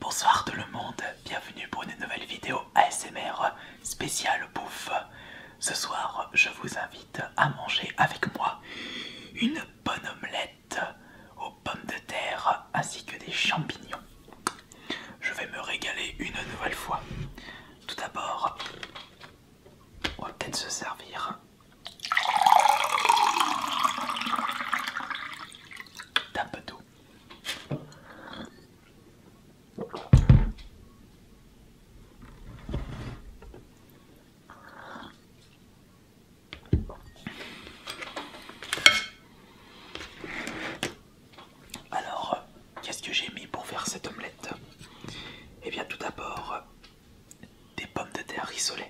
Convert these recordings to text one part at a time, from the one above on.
Bonsoir tout le monde, bienvenue pour une nouvelle vidéo ASMR spéciale bouffe. Ce soir, je vous invite à manger avec moi une bonne omelette aux pommes de terre ainsi que des champignons. Je vais me régaler une nouvelle fois. Tout d'abord, on va peut-être se servir d'un peu d'eau. Alors, qu'est-ce que j'ai mis pour faire cette omelette Eh bien, tout d'abord, des pommes de terre rissolées.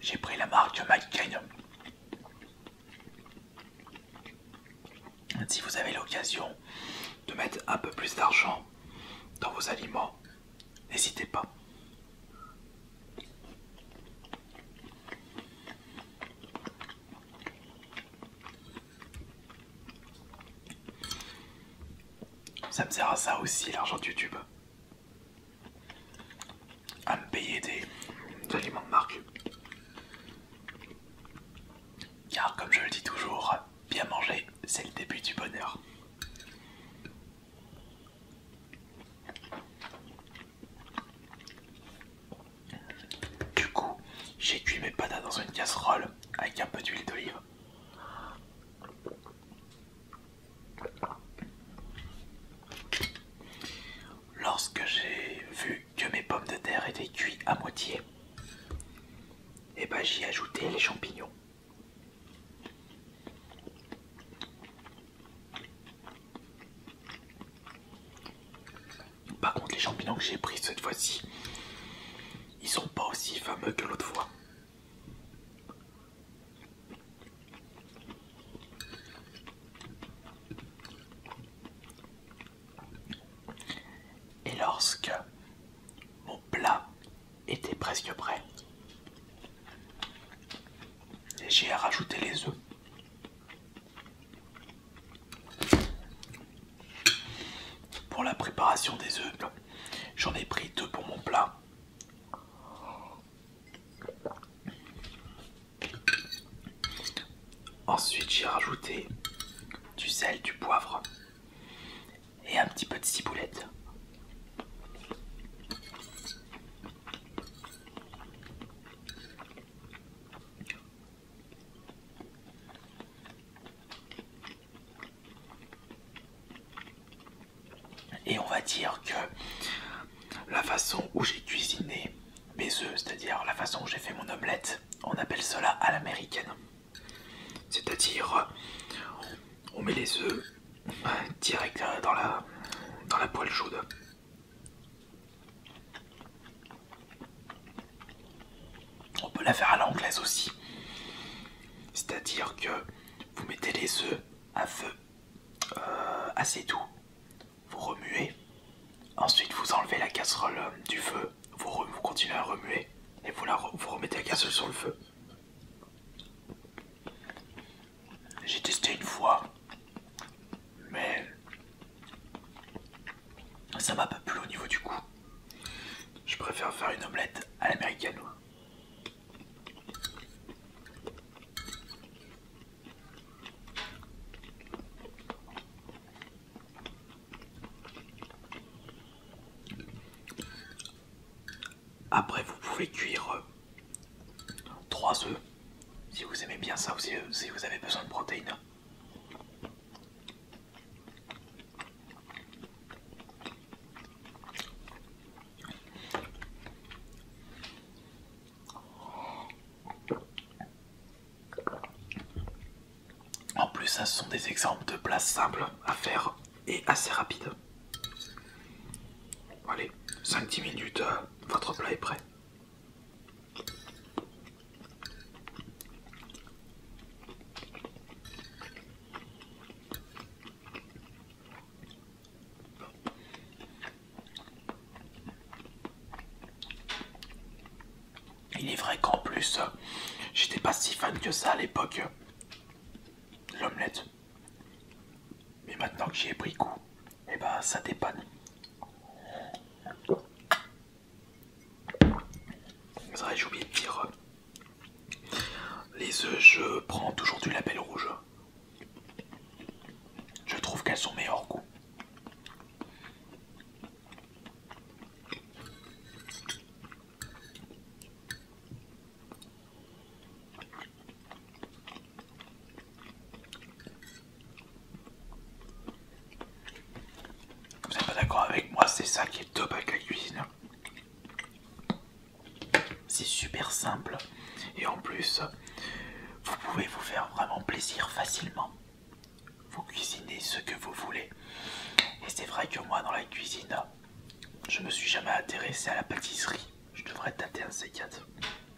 J'ai pris la marque McCain. Si vous avez l'occasion de mettre un peu plus d'argent dans vos aliments, n'hésitez pas. Ça me sert à ça aussi l'argent de YouTube. À me payer des, aliments de marque. Car comme je le dis toujours, bien manger, c'est le début du bonheur. Du coup, j'ai cuit mes patates dans une casserole avec un peu d'huile d'olive. Lorsque j'ai vu que mes pommes de terre étaient cuites à moitié, eh ben, j'y ai ajouté les champignons. Par contre, les champignons que j'ai pris cette fois-ci, ils sont pas aussi fameux que l'autre fois. Et lorsque mon plat était presque prêt, j'ai rajouté les œufs. Pour la préparation des œufs, j'en ai pris deux pour mon plat. Ensuite, j'ai rajouté du sel, du poivre et un petit peu de ciboulette. Et on va dire que la façon où j'ai cuisiné mes œufs, c'est-à-dire la façon où j'ai fait mon omelette, on appelle cela à l'américaine. C'est-à-dire, on met les œufs euh, direct euh, dans la, dans la poêle chaude on peut la faire à l'anglaise aussi. C'est-à-dire que vous mettez les œufs à feu euh, assez doux, vous remuez, ensuite vous enlevez la casserole euh, du feu, vous, continuez à remuer et vous remettez la casserole sur le feu. J'ai testé une fois, mais ça m'a pas plu au niveau du goût. Je préfère faire une omelette à l'américaine. Après, vous pouvez cuire 3 œufs. Si vous aimez bien ça, ou si vous avez besoin de protéines. En plus, ça ce sont des exemples de plats simples à faire et assez rapides. Allez, 5-10 minutes, euh, votre plat est prêt. Il est vrai qu'en plus, j'étais pas si fan que ça à l'époque. L'omelette. Mais maintenant que j'ai pris goût, et eh ben ça dépanne. j'ai oublié de dire. Les œufs, je prends toujours du label rouge. Je trouve qu'elles sont meilleures goût. Vous n'êtes pas d'accord avec moi, c'est ça qui est top avec la cuisine. C'est super simple et en plus, vous pouvez vous faire vraiment plaisir facilement. Vous cuisinez ce que vous voulez. Et c'est vrai que moi, dans la cuisine, je me suis jamais intéressé à la pâtisserie. Je devrais tâter un C4.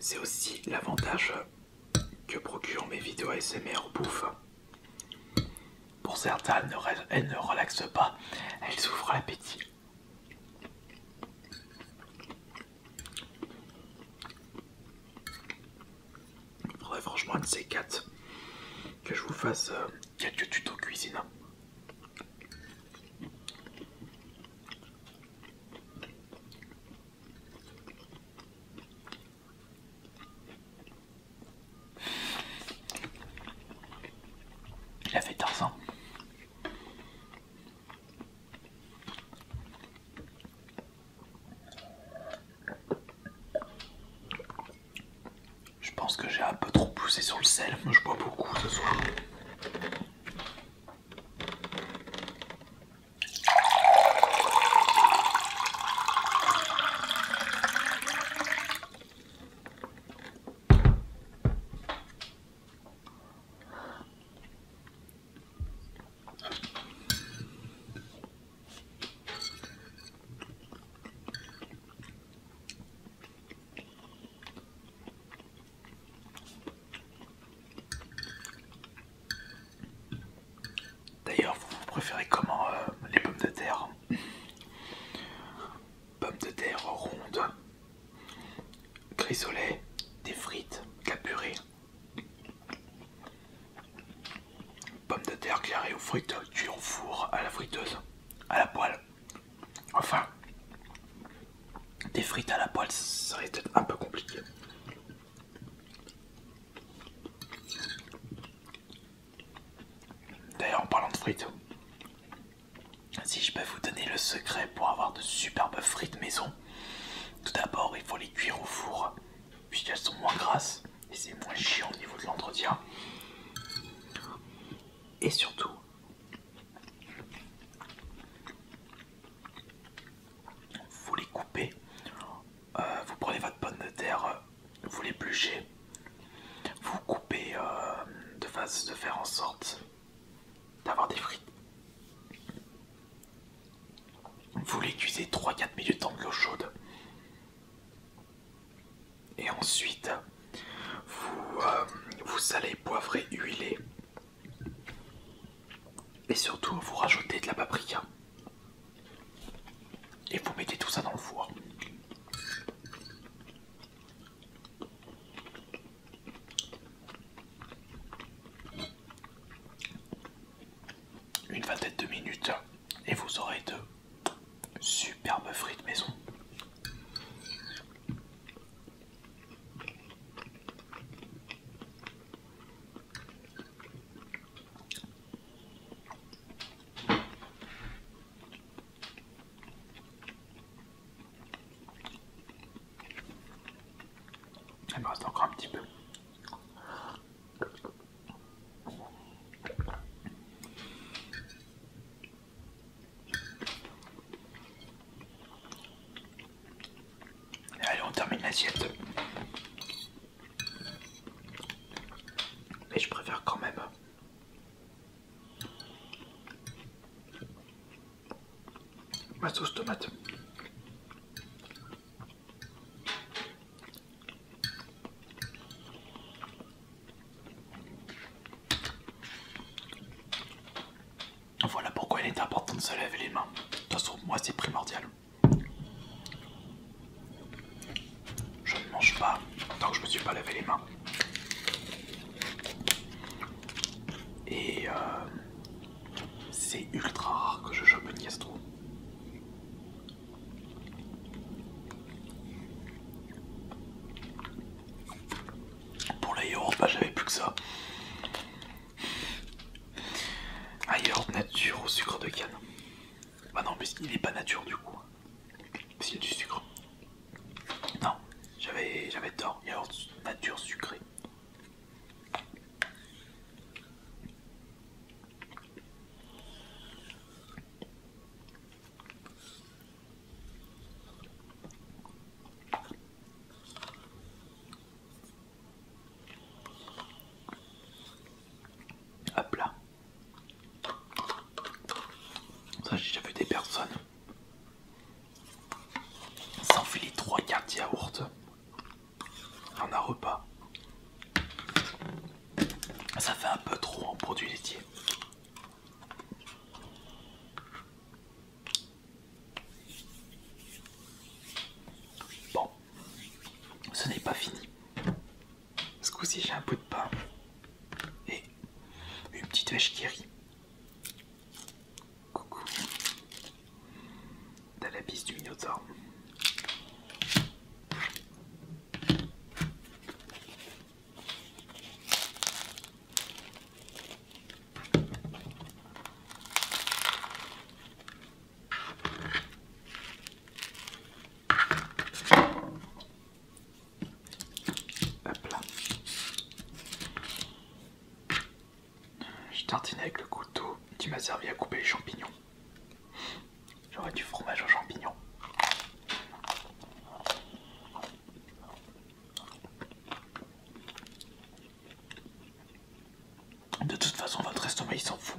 C'est aussi l'avantage que procurent mes vidéos ASMR bouffe. Pour certains, elles ne relaxent pas, elles souffrent l'appétit. Il faudrait franchement de ces quatre que je vous fasse euh, quelques tutos cuisine. Il a fait ça je pense que j'ai un peu trop poussé sur le sel, je bois beaucoup ce soir. D'ailleurs, vous, préférez comment euh, les pommes de terre Pommes de terre rondes Grisolet, des frites, de la purée, pommes de terre carrées ou frites tu au four, à la friteuse, à la poêle. Enfin, des frites à la poêle, ça va être un peu compliqué. D'ailleurs, en parlant de frites, si je peux vous donner le secret pour avoir de superbes frites maison, tout d'abord il faut les cuire au four, Puisqu'elles sont moins grasses et c'est moins chiant au niveau de l'entretien. Et surtout, vous les coupez, euh, vous prenez votre pomme de terre, vous les l'épluchez, vous coupez euh, de, façon de faire en sorte d'avoir des frites. Vous les cuisez 3-4 minutes dans de l'eau chaude. Et ensuite, vous, euh, vous salez, poivrez, huilez. Et surtout, vous rajoutez de la paprika. Et vous mettez tout ça dans le four. Une vingtaine de minutes et vous aurez de superbes frites maison. Elle me reste encore un petit peu. Allez, on termine l'assiette. Mais je préfère quand même Ma sauce tomate. Voilà pourquoi il est important de se laver les mains. De toute façon, moi c'est primordial. Je ne mange pas tant que je me suis pas lavé les mains. Et euh, c'est ultra rare que je chope une gastro. Pour la bah, j'avais plus que ça. Un nature au sucre de canne. Bah non, mais il n'est pas nature du coup. S'il y a du sucre. Non, j'avais tort. Il y a Yaourt nature sucrée. Hop là. Ça j'ai déjà vu des personnes ça en fait les trois quarts de yaourt en un repas. Ça fait un peu trop en produit laitier. Bon, ce n'est pas fini. Ce coup-ci, j'ai un bout de pain et une petite vache qui rit. Coucou. T'as la bise du Minotaure. Hop là. Je tartinais avec le couteau tu m'a servi à couper les champignons. J'aurais du fromage aux champignons. De toute façon, votre estomac il s'en fout.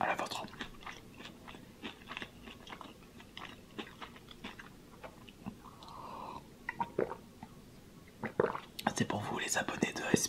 À la vôtre. C'est pour vous les abonnés de S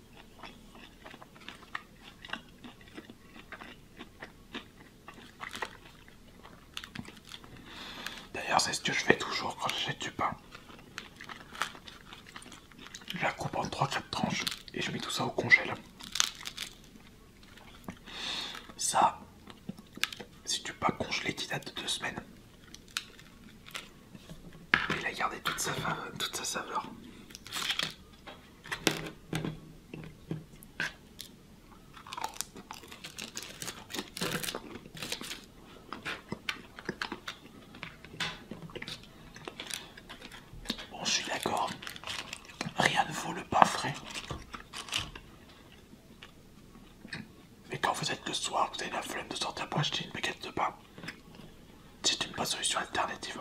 D'ailleurs, c'est ce que je fais toujours quand j'ai du pain. Je la coupe en 3-4 tranches et je mets tout ça au congèle. Ça, si tu pas congelé, qui date de 2 semaines. Ah, il a gardé toute sa, saveur. Bon, je suis d'accord, rien ne vaut le pain frais. Mais quand vous êtes le soir, vous avez la flemme de sortir pour acheter une baguette de pain. C'est une bonne solution alternative.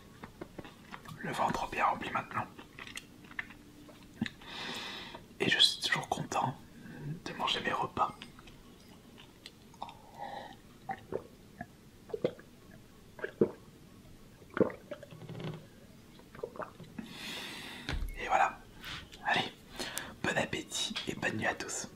Le ventre bien rempli maintenant. Et je suis toujours content de manger mes repas. Et voilà. Allez, bon appétit et bonne nuit à tous.